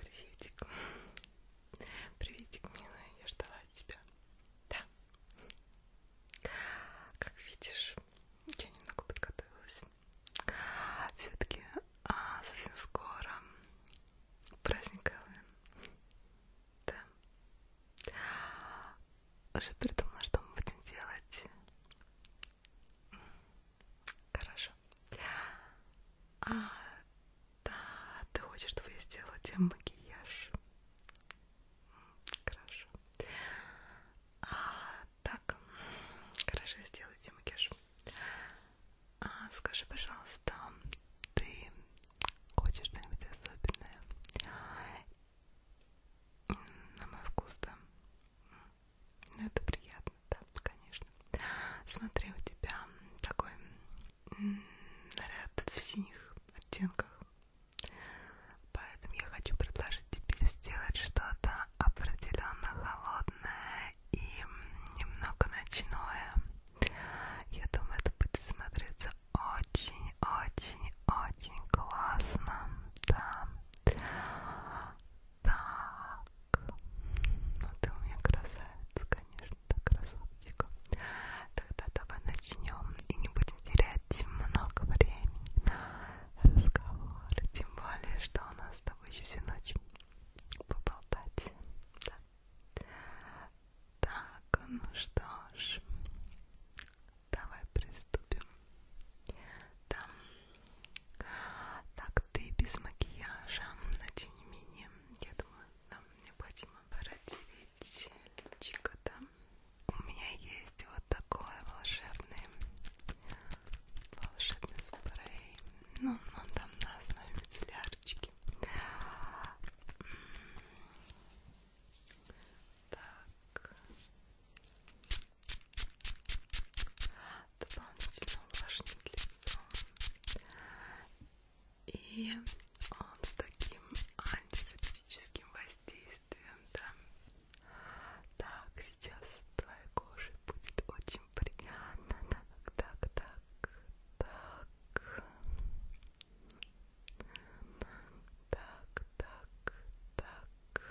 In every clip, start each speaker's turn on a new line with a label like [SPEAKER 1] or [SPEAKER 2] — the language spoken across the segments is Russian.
[SPEAKER 1] Приветик. Приветик, милая, я ждала тебя. Да. Как видишь, я немного подготовилась. Все-таки а, совсем скоро Праздник Хэллоуин. Да. Уже придумала, что мы будем делать. Хорошо. А, да, ты хочешь, чтобы я сделала тебе макияж? Хорошо. А, так, хорошо, я сделаю тебе макияж. А, скажи, пожалуйста, ты хочешь что-нибудь особенное? На мой вкус, да. Ну, это приятно, да, конечно. Смотри, у тебя такой наряд в синих оттенках. Поэтому я хочу предложить тебе сделать что-то определенно холодное и немного ночное. Я думаю, это будет смотреться очень-очень-очень классно. Да. Так. Ну ты у меня красавица, конечно, да, красавчик. Тогда давай начнем и не будем терять много времени разговора. Тем более, что у нас с тобой еще всю ночь поболтать. Да. Так, ну что ж, давай приступим. Да. Так, ты без макияжа, но тем не менее, я думаю, нам необходимо протереть личико, да? У меня есть вот такой волшебный волшебный спрей ну, но там на основе канцелярочки. Так. Дополнительно увлажнить лицо. И он с таким антисептическим воздействием, да. Так, сейчас твоя кожа Будет очень приятно. Так, так, так, так. Так, так, так.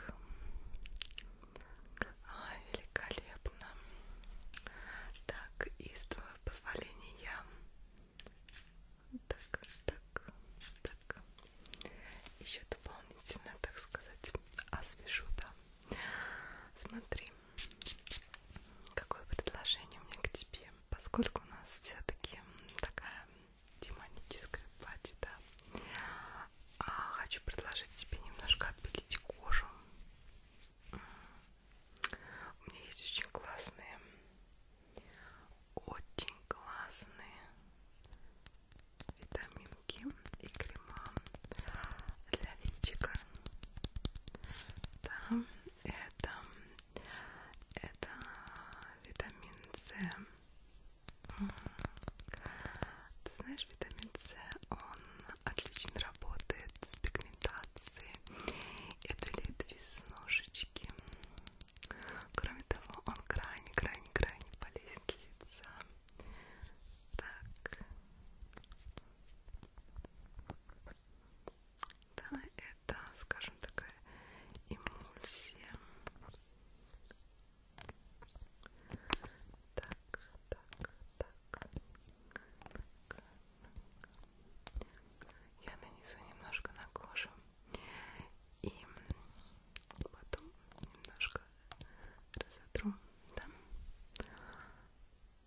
[SPEAKER 1] Ай, великолепно. Так, и с твоего позволения. Так, так, так. Еще дополнительно, так сказать, освежу, да. Смотри, Какое предложение у меня к тебе? Поскольку у нас все-таки такая демоническая платье, да, а хочу предложить тебе немножко отбелить кожу. У меня есть очень классные, очень классные витаминки и крема для личика. Да, это, это витамин С. Ты знаешь, витамин С, он отлично работает с пигментацией и удалит веснушечки. Кроме того, он крайне-крайне-крайне полезен для лица. Так. Да, это, скажем, такая эмульсия. Так, так, так. Я нанесу немножко на кожу и потом немножко разотру, да?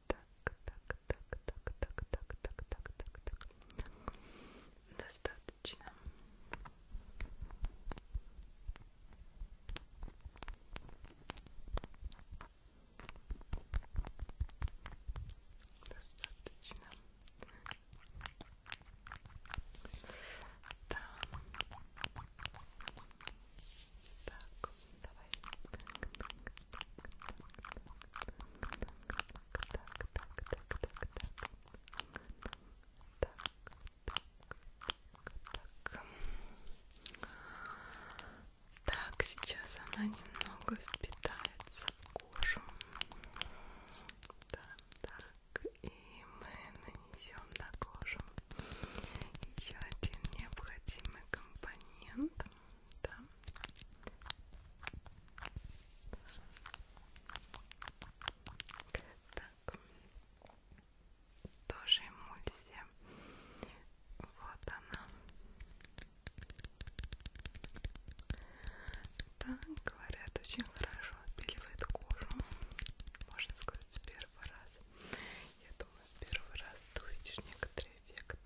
[SPEAKER 1] так, так, так, так, так, так, так, так, так, так. Достаточно. Достаточно. Да. Так, давай. Так, сейчас она немного впитается в кожу. Да, так, и мы нанесем вам на кожу. Еще один необходимый компонент. Да. Так. Тоже эмульсия. Вот она. Да, говорят, очень хорошо отбеливает кожу. Можно сказать, с первого раза. Я думаю, с первого раза ты увидишь некоторый эффект.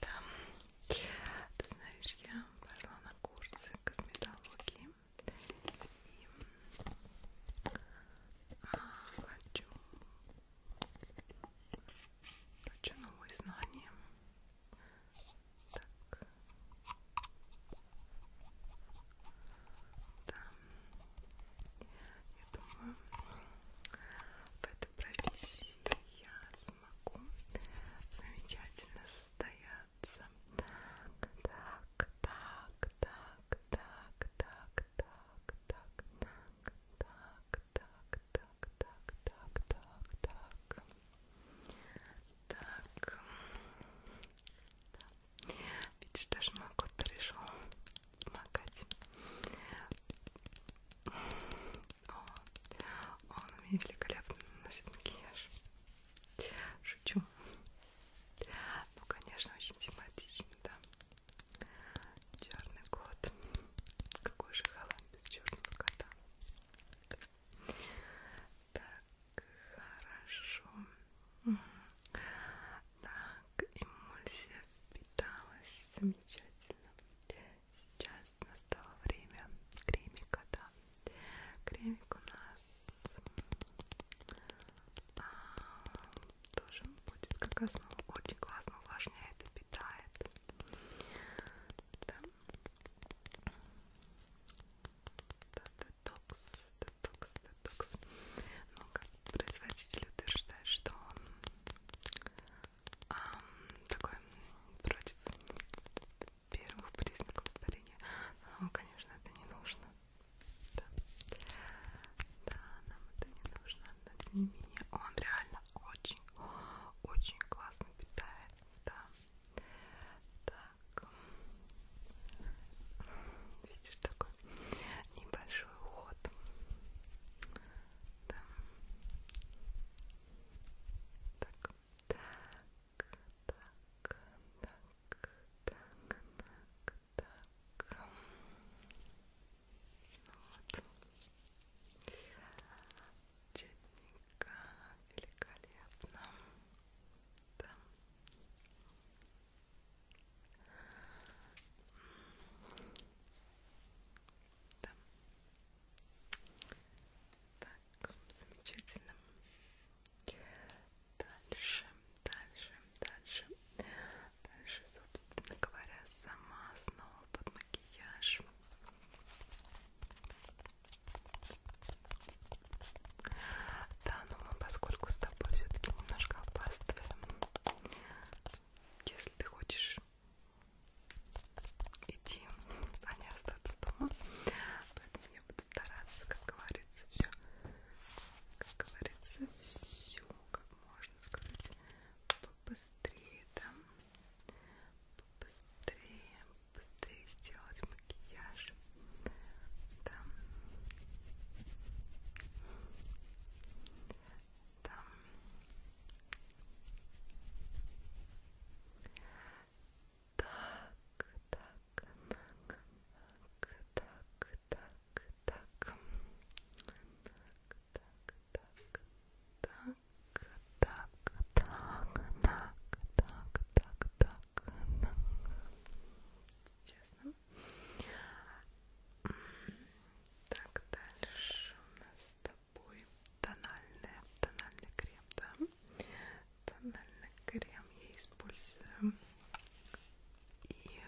[SPEAKER 1] Так. Да. Ты знаешь, я пошла на курсы косметологии и а, хочу Хочу новые знания. Так. Да. Я думаю, в этой профессии я смогу замечательно состояться. Так, так, так, так, так, так, так, так, так, так, так, так, так, так, так, так. Так. Да. Видишь, даже мой кот пришел помогать. Он у меня великолепно наносит макияж. Шучу. Ну, конечно, очень тематично, да. Черный кот. Какой же халат без черного кота. Так, хорошо. Так, эмульсия впиталась замечательно. Сейчас настало время кремика, да. Кремик у нас а, тоже будет как основа. Очень классно увлажняет и питает. Да. Да, детокс, детокс, детокс. Ну, как производитель утверждает, что он эм, такой против первых признаков старения. Но, ну, конечно, это не нужно. Да. да, нам это не нужно, но тем не менее он реально она очень, очень классно питает, да. Так, видишь такой небольшой уход, да. Так, так, так, так, так, так, так. Вот. Четненько, великолепно. Да. Да. Так, замечательно. Дальше, дальше, дальше дальше, собственно говоря, сама основа под макияж. Да, но мы, поскольку с тобой все-таки немножко опаздываем, если ты хочешь идти, а не остаться дома, поэтому я буду стараться, как говорится, все, как говорится, все, как можно сказать, попос побыстрее, да? Побыстрее, быстрее сделать макияж, да? Да. Так, так, так, так, так, так, так, так, так, так, так, так, так, так, так, так, так. Честно. Так, дальше у нас с тобой тональная, тональный крем, да? Тональный крем я использую. И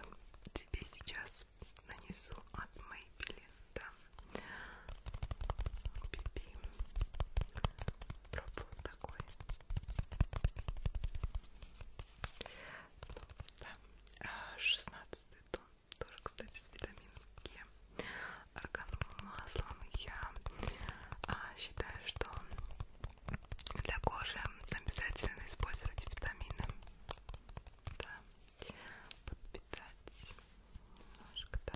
[SPEAKER 1] тебе сейчас нанесу от Maybelline, да. Биби. Пробовал такой. Ну, да. 16 а, тон. Тоже, кстати, с витамином К. Органовым маслом. Я а, считаю, что для кожи обязательно использовать витамины. Да подпитать немножко, да.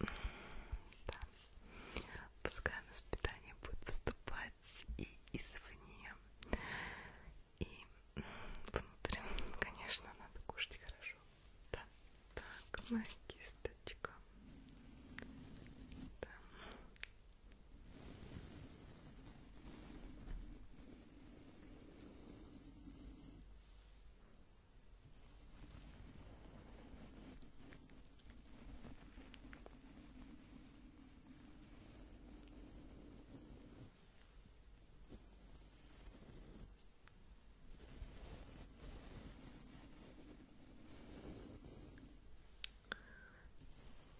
[SPEAKER 1] да. Пускай у нас питание будет поступать и извне, и внутрь. Конечно, надо кушать хорошо. Да. Так, моя кисточка. Да.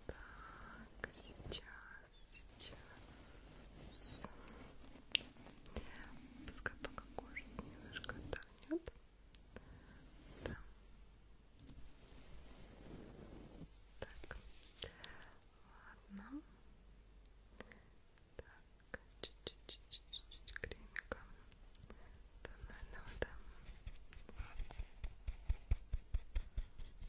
[SPEAKER 1] Так, сейчас сейчас. Пускай пока кожа немножко отдохнет. Да. Так, ладно. Так, чуть-чуть кремика тонального, да.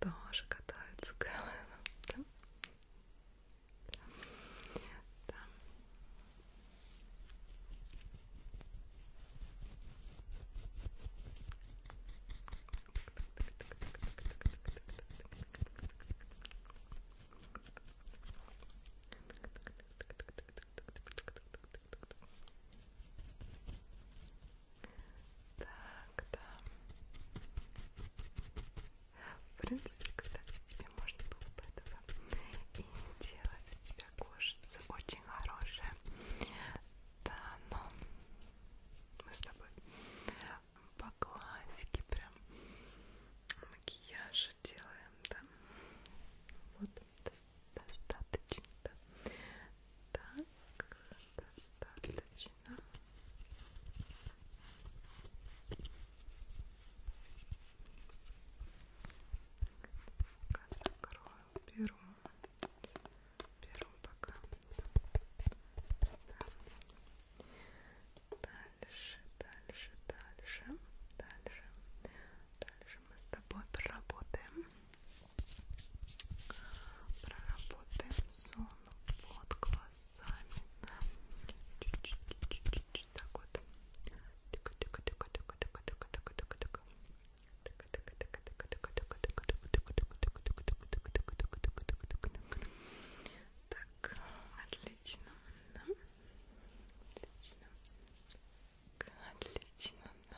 [SPEAKER 1] тоже катаются да? Да. Так, так, да. В принципе, кстати, тебе можно было бы этого и не делать. У тебя кожица очень хорошая. Да, но мы с тобой по классике прям макияж делаем, да? Вот, достаточно. Да. Так, достаточно. Закрою, беру, беру пока. Да. Дальше, дальше, дальше, дальше, дальше мы с тобой проработаем Проработаем зону под глазами. Чуть-чуть так вот. Так, отлично. Да? Отлично. Отлично. Да?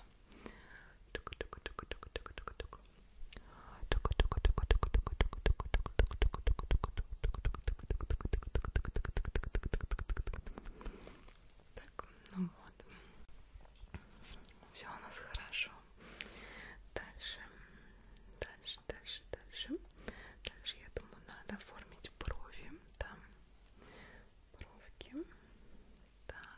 [SPEAKER 1] Так, ну вот. Все у нас хорошо. Дальше, дальше, дальше, дальше. Дальше, я думаю, надо оформить брови. Там бровки. Так.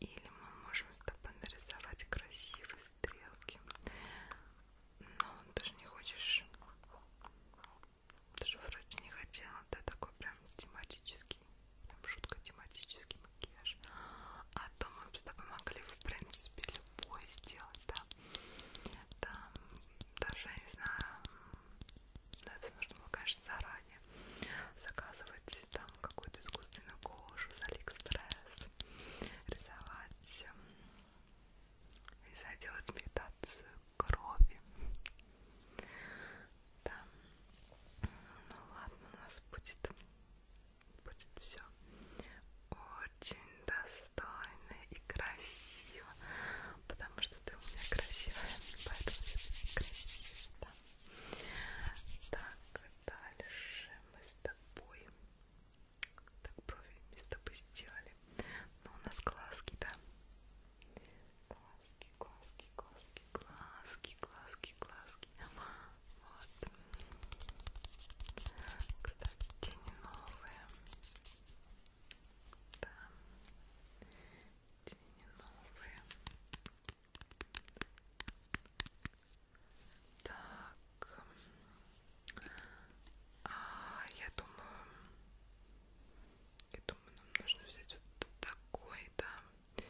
[SPEAKER 1] или мы можем с тобой нарисовать красивые стрелки. Но ты же не хочешь... Ты же вроде не хотела, да, такой прям тематический, прям шутка тематический макияж. А то мы бы с тобой могли, в принципе, любой сделать, да. Там даже, я не знаю, но ну, это нужно было, конечно, заранее заказывать рисовать там какую-то искусственную кожу с Алиэкспресс, рисовать, рисовать делать медитацию крови. Да. Ну ладно, у нас будет, будет все очень достойно и красиво, потому что ты у меня красивая, поэтому все красиво. Да. Так, дальше мы с тобой так брови мы с тобой сделали. Но у нас глазки, да? Глазки, глазки, глазки, глазки, глазки, глазки. Вот. Кстати, тени новые. Да. Тени новые. Так. А, я думаю, я думаю, нам нужно взять вот такой, да,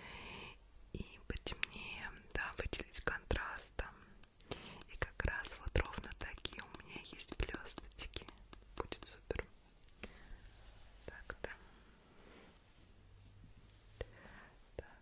[SPEAKER 1] и потемнее, да, выделить контрастом. И как раз вот ровно такие у меня есть блесточки. Будет супер. Так, да. Так,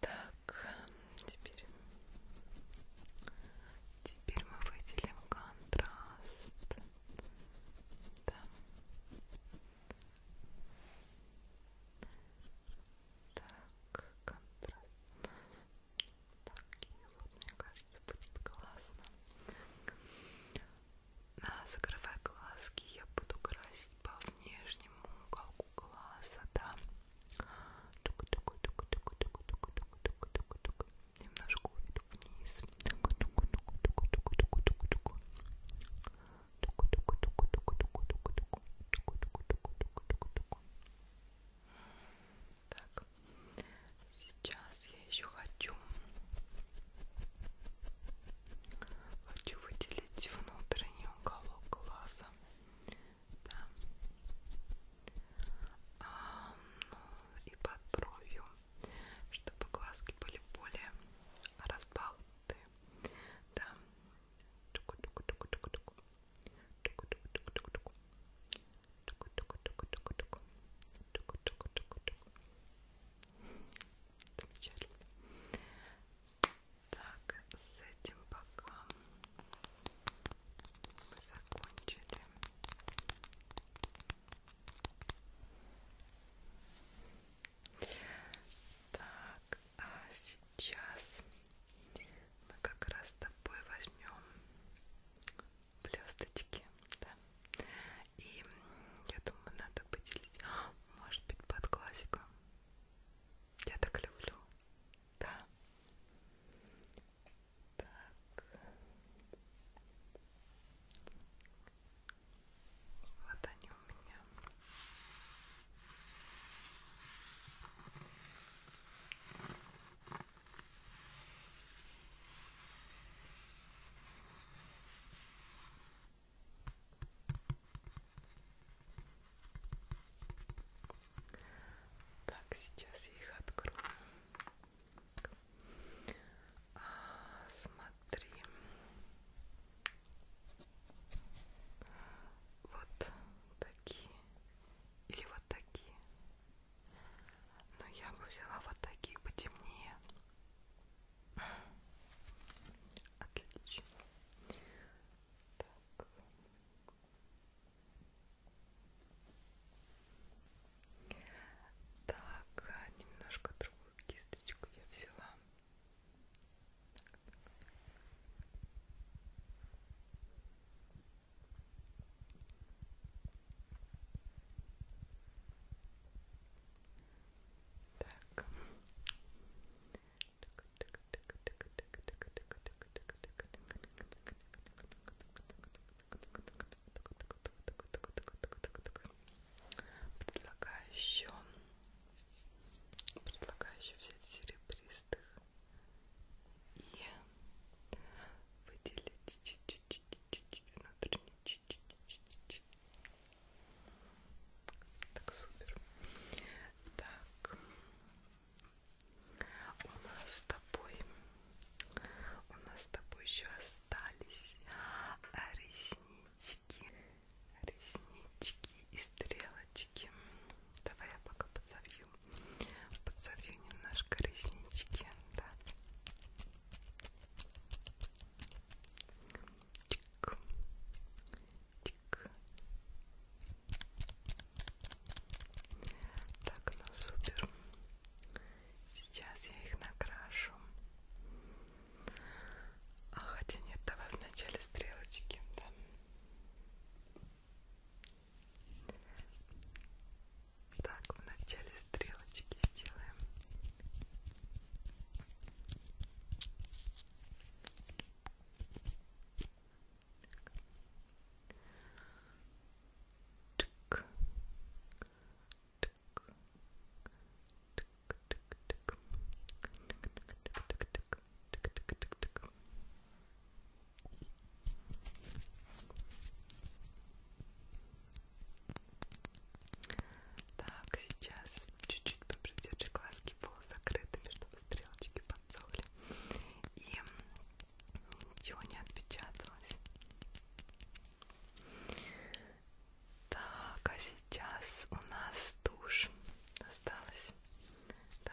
[SPEAKER 1] Так, теперь, теперь мы выделим контраст. Да. Так, контраст. Так, и вот мне кажется кажется, будет классно. Закрывая глазки, я буду красить по внешнему уголку глаза, да. Немножко уведу вниз. Так. Сейчас я еще хочу хочу выделить внутренний уголок глаза. Да. А, ну, и под бровью, чтобы глазки были более разбалты. Да. Туку -туку -туку -туку -туку. Туку -туку -туку -туку. Замечательно. Так, с этим пока мы закончили. Так, а сейчас мы как раз с тобой возьмем блесточки, да. И я думаю, надо поделить, может быть, под классику. Я так люблю, да. Так. Вот они у меня. Так, сейчас я их открою. А, смотри. Вот такие. Или вот такие. Но я бы взяла вот такие потемнее. Отлично. Так. так, а немножко другую кисточку я взяла. Так, так. Так. Предлагаю еще, предлагаю еще взять серебристых и выделить чуть-чуть внутренний чуть-чуть так супер так у нас с тобой у нас с тобой еще остались реснички реснички и стрелочки давай я пока подзовью подсолью. Подсолью немножко реснички, да. Чик. Чик. Так, ну супер. Сейчас я их накрашу. А хотя нет, давай вначале стрелочки. Да. Так, в начале стрелочки сделаем. Так. Так. Так, так, так. Так, так, так, так. Так, так, так, так. Так, сейчас чуть-чуть попридержи глазки полузакрытыми, чтобы стрелочки подсохли. И ничего не отпечаталось. Так, а сейчас у нас тушь осталась. Да?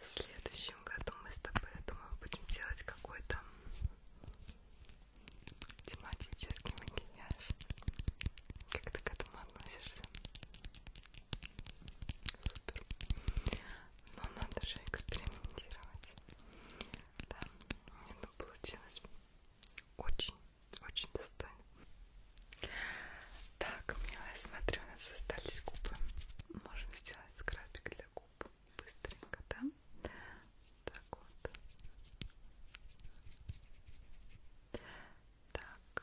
[SPEAKER 1] В следующем году мы с тобой, я думаю, будем делать какой-то тематический макияж. Как ты к этому относишься? Супер. Но ну, надо же экспериментировать. Да, мне ну, получилось очень-очень достойно. Так, милая, смотрю, у нас остались губы. Можем сделать скрабик для губ быстренько, да? Так вот. Так,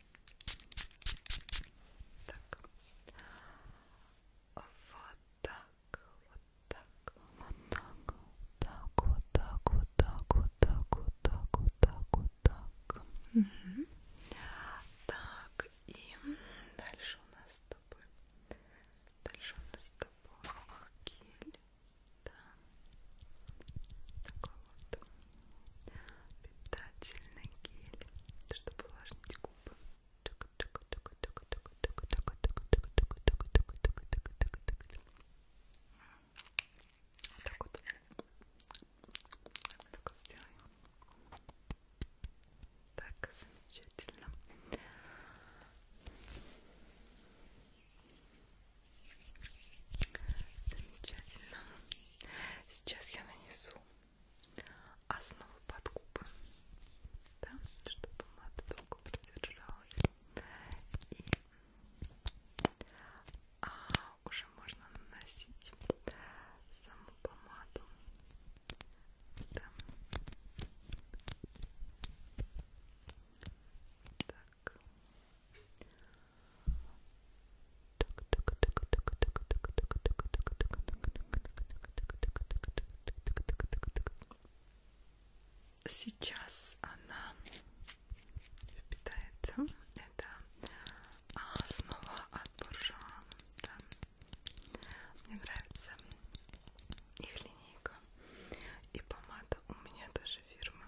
[SPEAKER 1] Так. Вот так, вот так, вот так, вот так, вот так, вот так, вот так, вот так, вот так, вот так. Угу. Так, и дальше у нас с тобой. Дальше у нас с тобой гель. Да. Такой вот питательный гель, чтобы увлажнить губы. Вот так вот. Вот так вот сделаем. Так, замечательно. Замечательно. Сейчас я нанесу основу под губы, да, чтобы помада долго продержалась. И а, уже можно наносить саму помаду. Да. Так. Сейчас она впитается. Это основа а, от буржуа. Да. Мне нравится их линейка. И помада у меня тоже фирма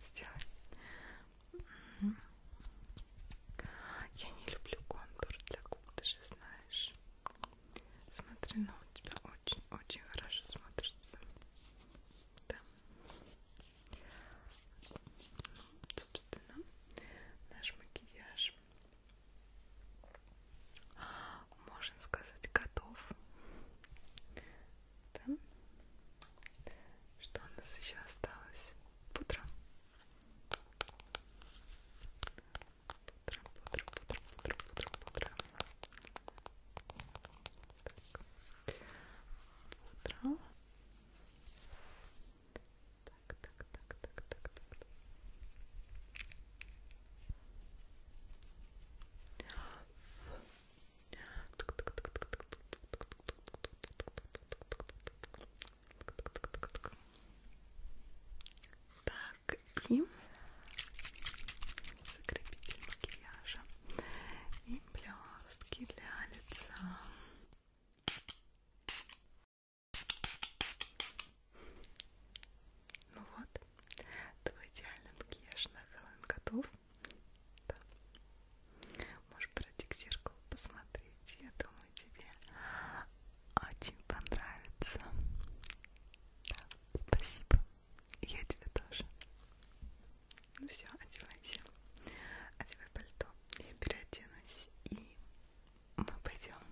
[SPEAKER 1] сделай. Угу. Я не люблю контур для губ, ты же знаешь. Смотри, но ну, у тебя очень-очень хорошо смотрится. Да. Ну, собственно, наш макияж можно сказать готов. Да? Что у нас еще осталось? Пудра. Пудра, пудра, пудра, пудра, пудра, пудра. Так. Пудра. Так, так, так, так, так, так. Так, и закрепитель макияжа и блестки для лица. Ну вот, твой идеальный макияж на Хэллоуин готов. Да. Можешь пройти к зеркалу посмотреть. Я думаю, тебе очень понравится. Да, спасибо. Я тебе тоже. Ну все, одевайся. Одевай пальто. Я переоденусь и мы пойдем.